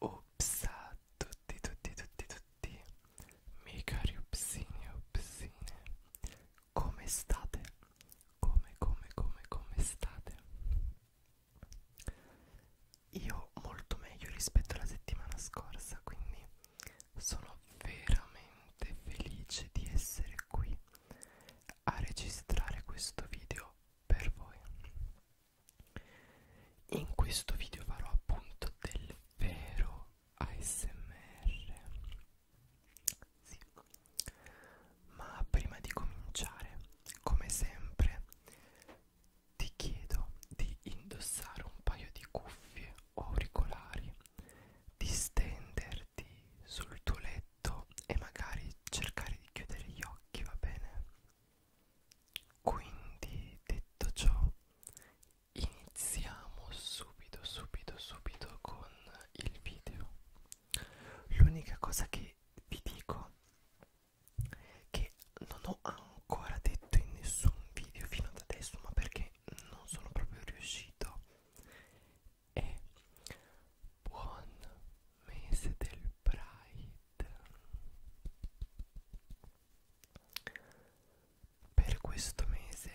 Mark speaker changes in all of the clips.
Speaker 1: Ups a tutti, tutti, tutti, tutti, miei cari upsini e upsine, come state? Come, come, come, come state? Io molto meglio rispetto alla settimana scorsa, quindi sono veramente felice di essere qui a registrare questo video per voi. In questo video farò appunto del vero ASMR. Sì. Ma prima di cominciare, come sempre, ti chiedo di indossare un paio di cuffie o auricolari, di stendere sederti sul tuo letto e magari cercare di chiudere gli occhi, va bene? Quindi, detto ciò, iniziamo subito, subito, subito con il video. L'unica cosa che vi dico che non ho ancora detto in nessun video fino ad adesso, ma perché che non sono proprio riuscito e buon mese del Pride per questo mese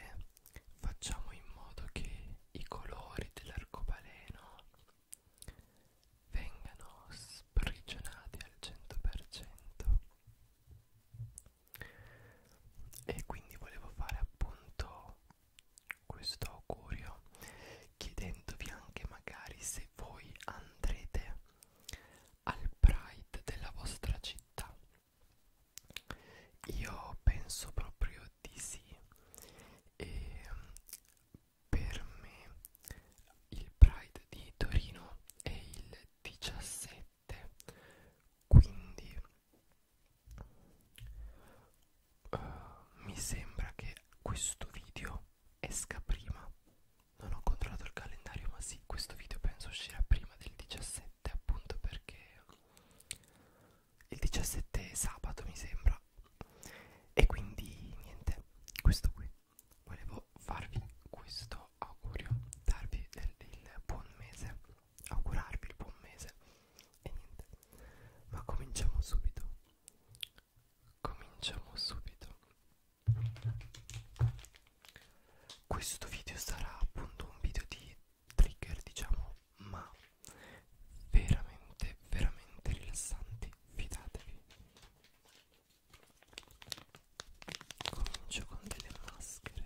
Speaker 1: facciamo in modo che i colori dell'arcobaleno vengano sprigionati al 100% e quindi volevo fare appunto questo augurio chiedendovi anche magari se voi andrete al pride della vostra città io penso proprio di sì e per me il pride di Torino è il 17 quindi uh, mi sembra che questo video esca prima non ho controllato il calendario ma sì questo video penso uscirà prima del 17 appunto perché il 17 è sabato mi sembra e quindi niente questo qui volevo farvi questo augurio darvi il, il buon mese augurarvi il buon mese e niente ma cominciamo subito cominciamo subito questo video sarà appunto un video di trigger diciamo ma veramente veramente rilassanti fidatevi comincio con delle maschere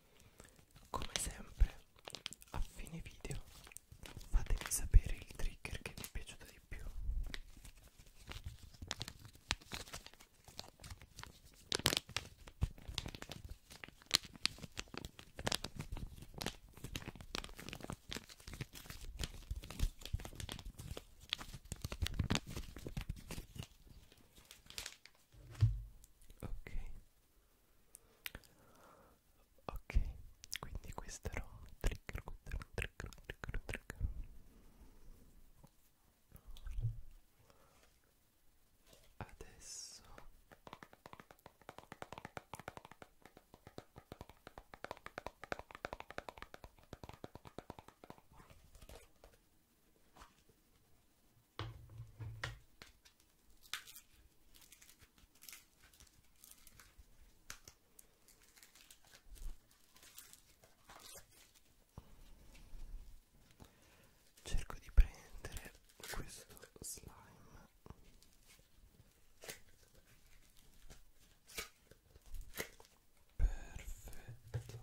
Speaker 1: Come sempre a fine video fatemi sapere il trigger che vi è piaciuto di più ok ok quindi questo era un trigger questo era un trigger un trigger un trigger adesso Cerco di prendere questo slime. Perfetto.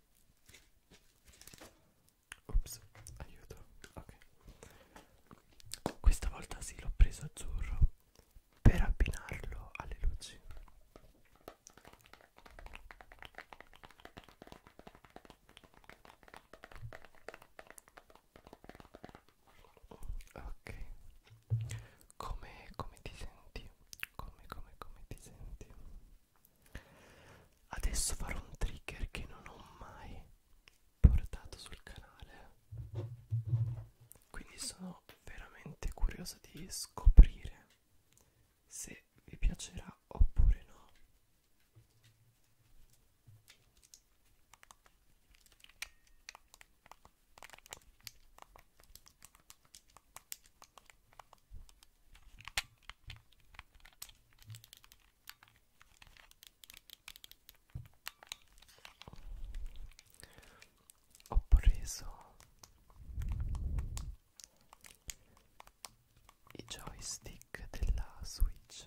Speaker 1: Ops, aiuto. Ok. Questa volta sì, l'ho preso azzurro per abbinarlo alle luci. Ok. Come, come ti senti? Come, come, come ti senti? Adesso farò un trigger che non ho mai portato sul canale. Quindi sono veramente curioso di scoprire se vi piacerà oppure no ho preso i joystick della Switch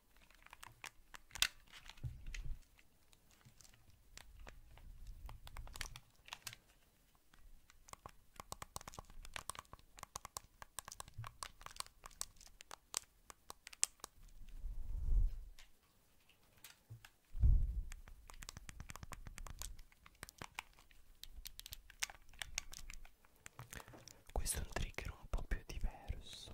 Speaker 1: Questo è un trigger un po' più diverso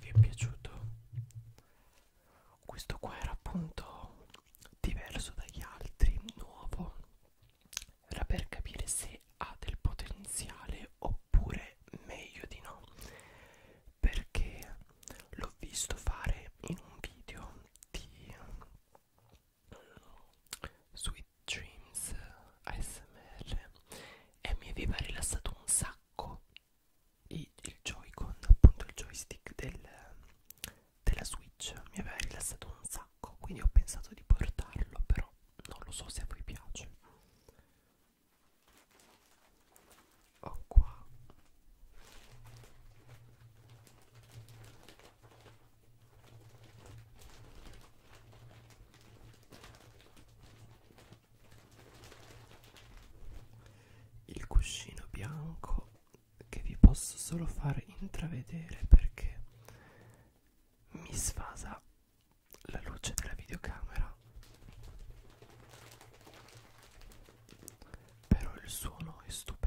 Speaker 1: vi è piaciuto? Questo qua era appunto diverso dagli altri, nuovo, era per capire se ha del potenziale oppure meglio di no perché l'ho visto fare in un video di eh, Sweet Dreams ASMR e mi aveva rilassato un sacco il, il Joy-Con, appunto il joystick del, della Switch mi aveva rilassato un sacco quindi ho pensato di portarlo però non lo so se a voi piace ho qua il cuscino bianco che vi posso solo far intravedere perché mi sfasa la luce della videocamera però il suono è stupendo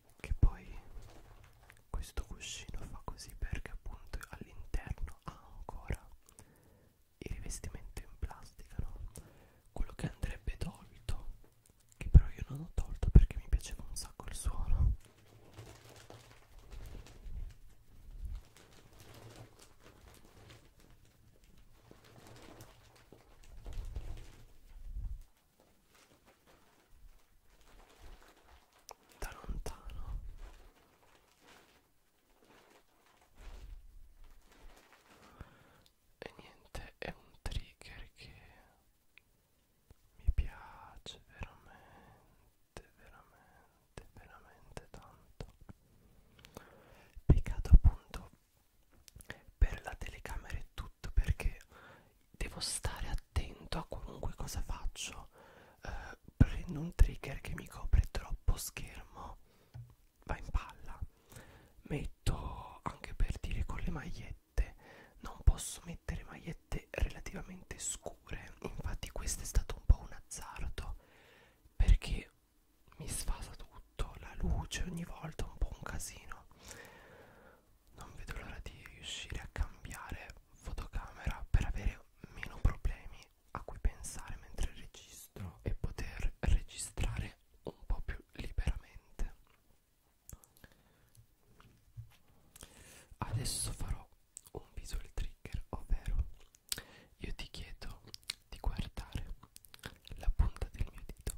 Speaker 1: che poi questo cuscino fa così perché appunto all'interno ha ancora il rivestimento in plastica no? quello che andrebbe tolto che però io non ho tolto perché mi piaceva un sacco il suono da lontano e niente è un trigger che mi piace veramente veramente veramente tanto peccato appunto per la telecamera e tutto perché devo stare attento a qualunque cosa faccio eh, prendo un trigger che mi copre troppo schermo va in palla metto anche per dire con le magliette non posso mettere magliette relativamente scure infatti questo è stato un po' un azzardo perché mi sfasa tutto la luce ogni volta un po' un casino non vedo l'ora di riuscire a cambiare fotocamera per avere meno problemi a cui pensare mentre registro e poter registrare un po' più liberamente adesso farò un visual trigger ovvero io ti chiedo di guardare la punta del mio dito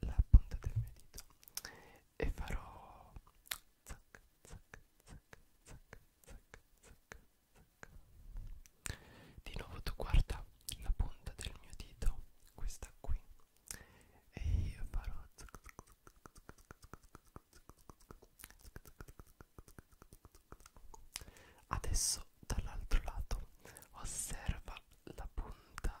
Speaker 1: la punta del mio dito e farò zac, zac, zac, zac, zac, zac, zac. di nuovo tu guarda la punta del mio dito questa qui e io farò zac, zac, Adesso dall'altro lato osserva la punta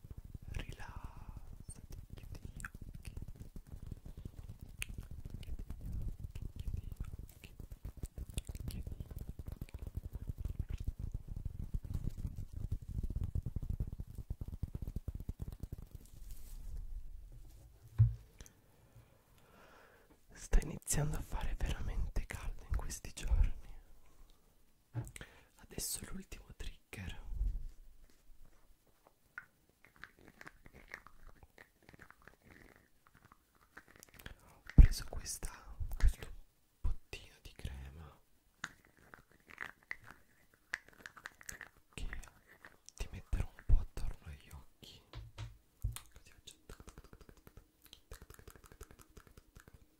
Speaker 1: rilassati, chiudi gli occhi chiudi gli occhi, chiudi gli occhi chiudi gli occhi sta iniziando a fare veramente caldo in questi giorni Adesso l'ultimo trigger. Ho preso questa, questo bottino di crema che ti metterò un po' attorno agli occhi. Così faccio.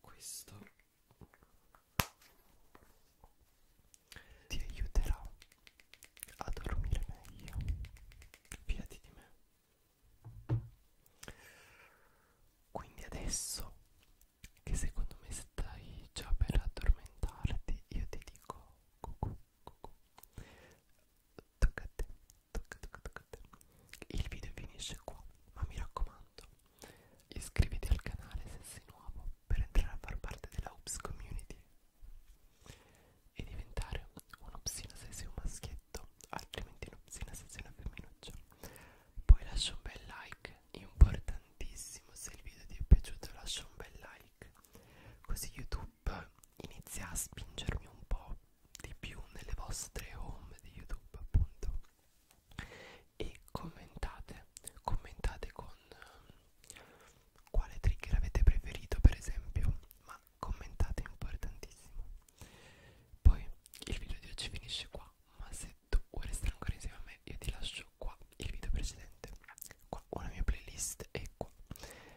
Speaker 1: questo ti aiuterà a dormire meglio fidati di me quindi adesso che secondo me stai già per addormentarti io ti dico cucù, cucù. Tocca a te, tocca, tocca, tocca a te. Il video finisce qua, ma mi raccomando, Iscriviti al canale se sei nuovo per entrare a far parte della Ups Community e diventare un'opsina se sei un maschietto, altrimenti un'opsina se sei una femminuccia. Poi lascia un bel like, importantissimo, se il video ti è piaciuto lascia un bel like, così YouTube inizia a spingermi un po' di più nelle vostre home di YouTube appunto e commentate commentate con um, quale trigger avete preferito per esempio ma commentate è importantissimo poi il video di oggi finisce qua ma se tu vuoi restare ancora insieme a me io ti lascio qua il video precedente qua una mia playlist e qua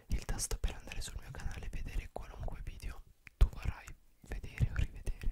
Speaker 1: il tasto per andare sul mio canale e vedere qualunque video tu vorrai vedere o rivedere